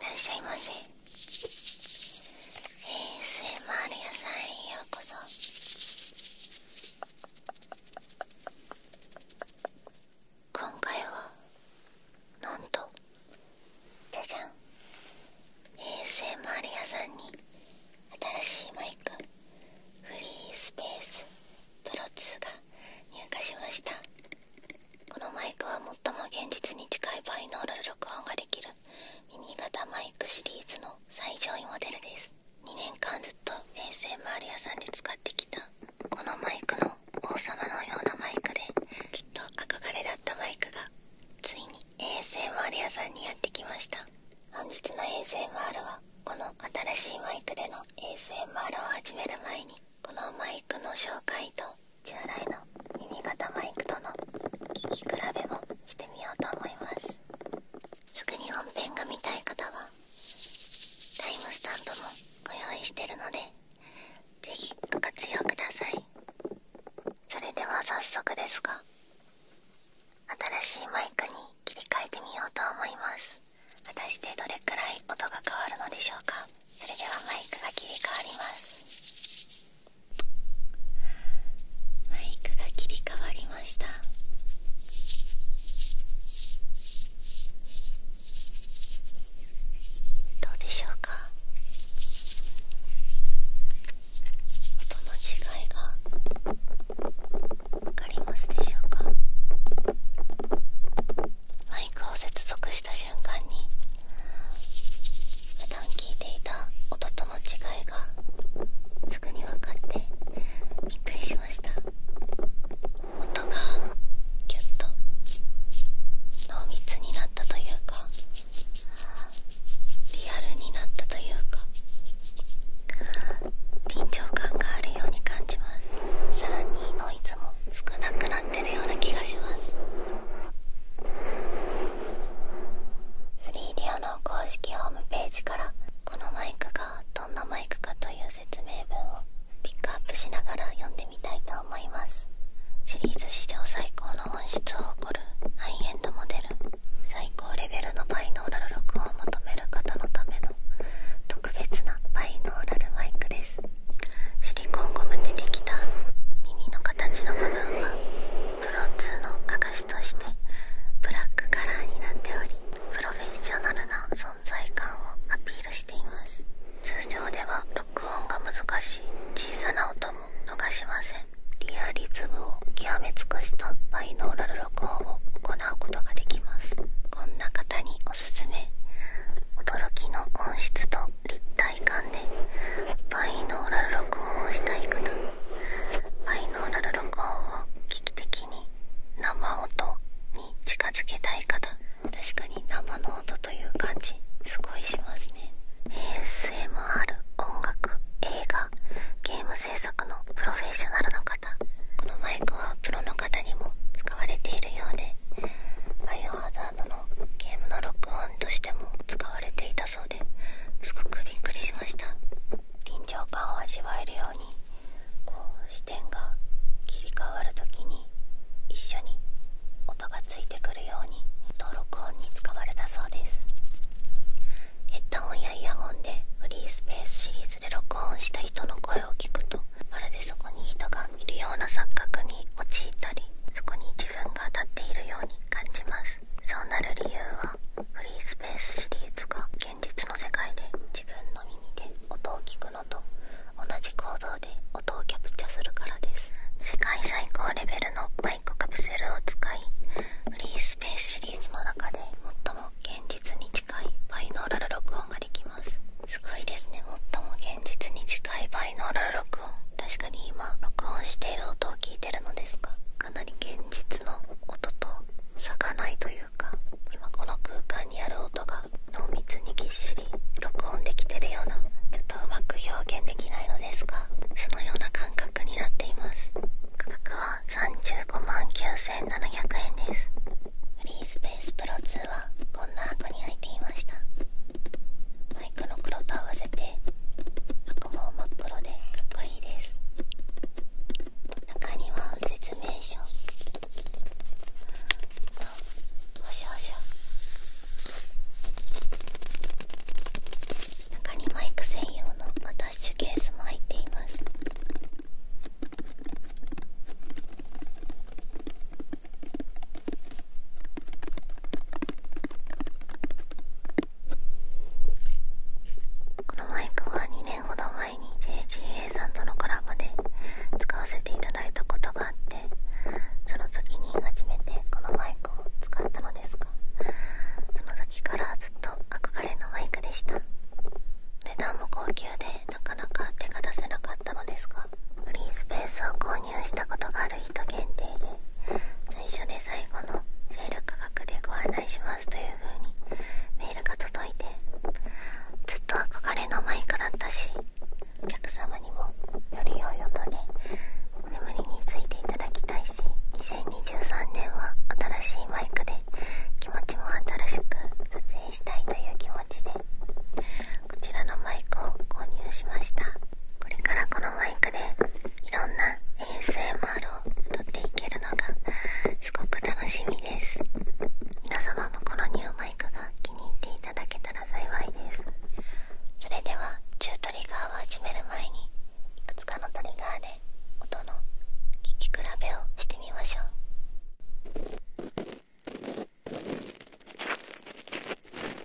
らっしゃいませ ASMR 屋さんへようこそ今回はなんとじゃじゃん ASMR 屋さんに新しいマイクフリースペースプロ2が入荷しましたこのマイクは最も現実に近いバイノーラル録音ができる耳型マイクシリーズの最上位モデルです2年間ずっと衛星周り屋さんで使ってきたこのマイクの王様のようなマイクできっと憧れだったマイクがついに ASMR 屋さんにやってきました本日の ASMR はこの新しいマイクでの ASMR を始める前にこのマイクの紹介と従来の耳型マイクとの聞き比べもしてみようと思いますすぐに本編が見たい方はタイムスタンドもご用意してるので是非ご活用くださいそれでは早速ですが新しいマイクに切り替えてみようと思います果たしてどれくらい音が変わるのでしょうかそれではマイクが切り替わりますマイクが切り替わりましたどうでしょうか音の違いがわかりますでしょうかマイクを接続した瞬間に普段聞いていた音との違いがすぐに分かってびっくりしました音がギュッと濃密になったというかリアルになったというか臨場感があるように感じますさらにノイズも少なくなってるような気がします 3DO の公式ホームページからこのマイクがどんなマイクかという説明文をピックアップしながら読んでみたいと思いますシリーズ史上最高の音質を誇るハイエンドモデル最高レベルのバイノーラル録音を求める方のための特別なバイノーラルマイクですシリコンゴムでできた耳の形の部分はプロ2の証としてブラックカラーになっておりプロフェッショナルな存在感をアピールしています通常では録音が難しい小さな音も逃しませんリアリズムを極め尽くしたバイノーラル録音を行うことができますこんな方におすすめ驚きの音質と体感でバイノーラル録音をしたい方バイノーラル録音を危機的に生音に近づけたい方確かに生の音という感じすごいしますね ASMR 音楽映画ゲーム制作のプロフェッショナルの方このマイクはプロの方にも使われているようでバイオハザラのゲームの録音としても使われていたそうですごくびっくりしました臨場感を味わえるようにこう視点が切り替わるときに一緒に音がついてくるようにと録音に使われたそうですヘッドホンやイヤホンでフリースペースシリーズで録音した人の声を聞くとまるでそこに人がいるような錯覚に陥ったりそこに自分が立っているように感じますそうなる理由はフリースペースシリーズが現実の世界で自分の耳で音を聞くのと同じ構造で音をキャプチャするからです世界最高レベルのマイクカプセルを使いフリースペースシリーズの中で最も現実に近いバイノーラル録音ができますすごいですね最も現前日に近い倍のラ録音確かに今録音している音を聞いてるのですがかなり現実の音と咲かないというか今この空間にある音が濃密にぎっしり録音できてるようなちょっとうまく表現できないのですがそのような感覚になっています価格は35万9700円ですフリースペースプロ2はこんな箱に入っていましたマイクの黒と合わせてあくも真っ黒でかっこいいです中には説明書あおしおし中にマイク専用のアタッシュケースも入っていますこのマイクは2年ほど前に JGA さんとのコラボで使わせていただいたことがあってその時に初めてこのマイクを使ったのですがその時からずっと憧れのマイクでした値段も高級でなかなか手が出せなかったのですがフリースペースを購入したことがある人限定で最初で最後のシェール価格でご案内しますという風にメールが届いてずっと憧れのマイクだったしお客様にもより良い音で眠りについていただきたいし2023年は新しいマイクで気持ちも新しく撮影したいという気持ちでこちらのマイクを購入しましたこれからこのマイクでいろんな ASMR を撮っていけるのがすごく楽しみです皆様もこのニューマイクが気に入っていただけたら幸いですそれではチュートリガーを始める前にいくつかのトリガーで音の聴き比べをしてみましょう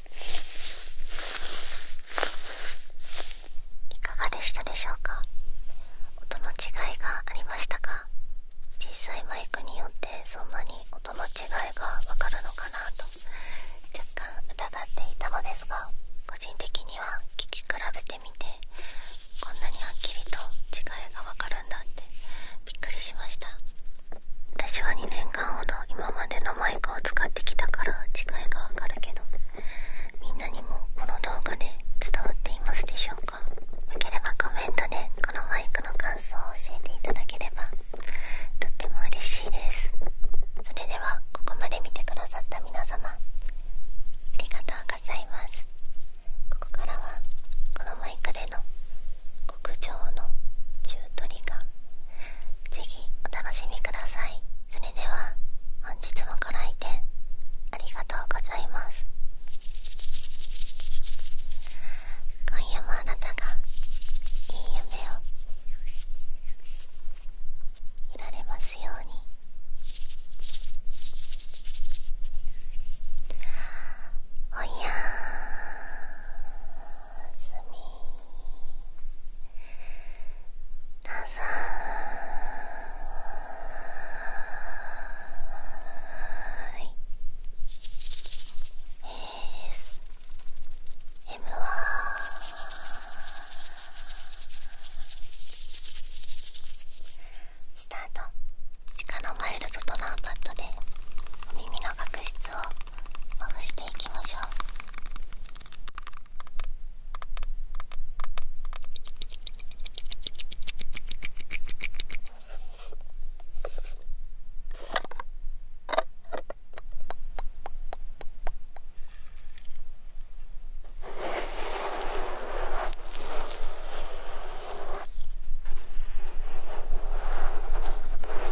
いかがでしたでしょうか音の違いがありましたか小さいマイクによってそんなに音の違いがわかるのかなと若干疑っていたのですが個人的には聴き比べてみてこんなにはっきりと違いがわかるんだってびっくりしました私は2年間ほど今までのマイクを使ってきたから違いがわかるけどみんなにもこの動画で伝わっていますでしょうかよければコメントでこのマイクの感想を教えていただければとっても嬉しいですそれではここまで見てくださった皆様ありがとうございますここからはこのマイクでの極上の中取りがぜひお楽しみくださいそれでは本日もご来店ありがとうございます今夜もあなたがいい夢を見られますようにおやーすみなさいスタート地下のマイルドとナーパッドでお耳の角質をまぶしていきましょう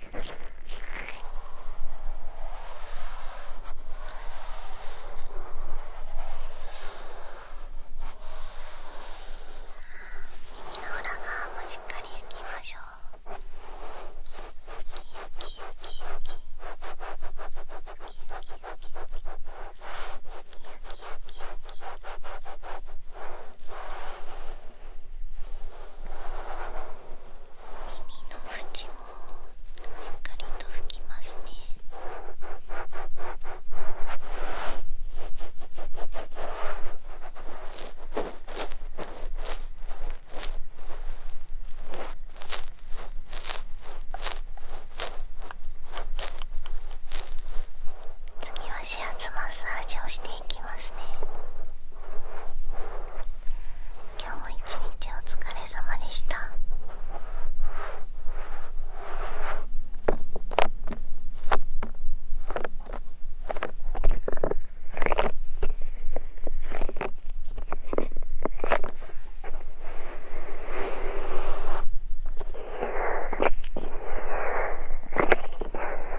耳の裏側もしっかり拭きましょう耳の縁もしっかりと拭きますね次は指圧マッサージをしててい今日も一日お疲れ様でしたお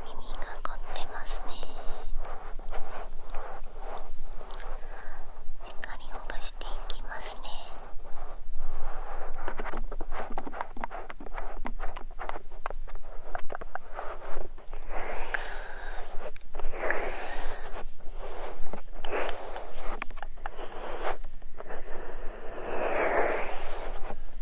耳が凝ってますねしっかりほぐしていきますね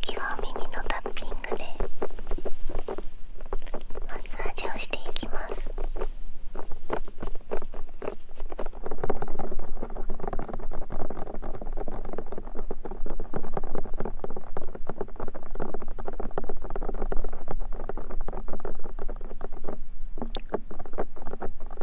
次は耳のタッピングでマッサージをしていきます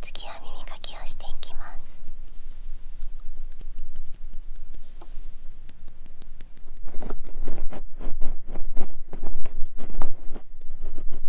次は耳かきをしていきます。耳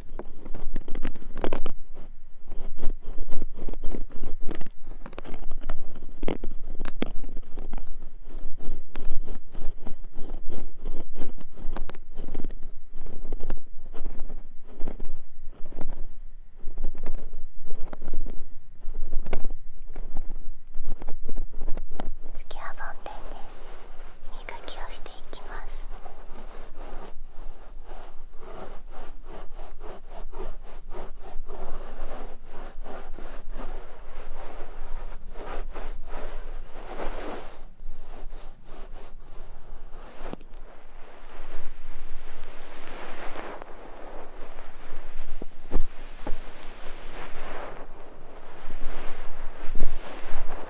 次は梵天ね磨きをしていきます。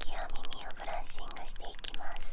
次は耳をブラッシングしていきます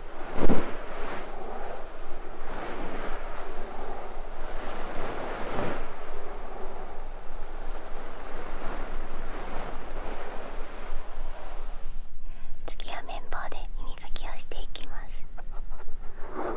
次は綿棒で耳かきをしていきます。耳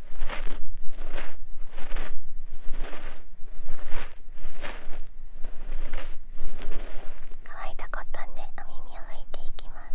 乾いたコットンでお耳を拭いていきます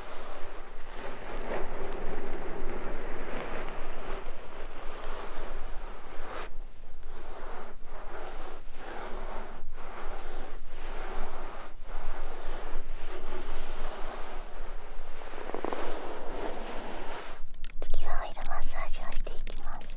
次はオイルマッサージをしていきます。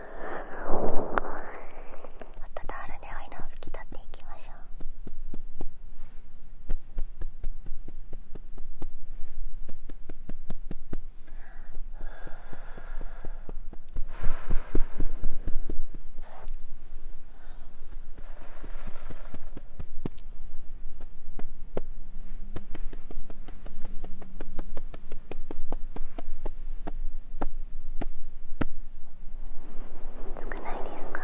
温ットタオルでを拭き取っていきましょう少ないですか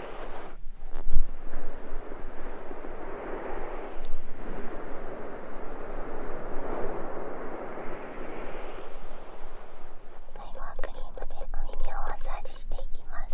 最後はクリームでお耳をマッサージしていきます。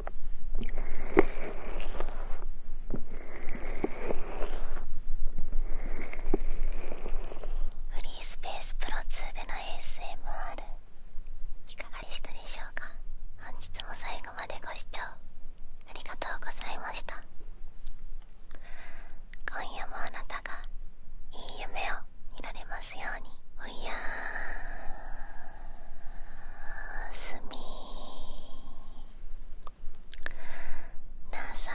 フリースペースプロ2での ASMR いかがでしたでしょうか本日も最後までご視聴ありがとうございました今夜もあなたがいい夢を見られますようにおいやーすみなさーい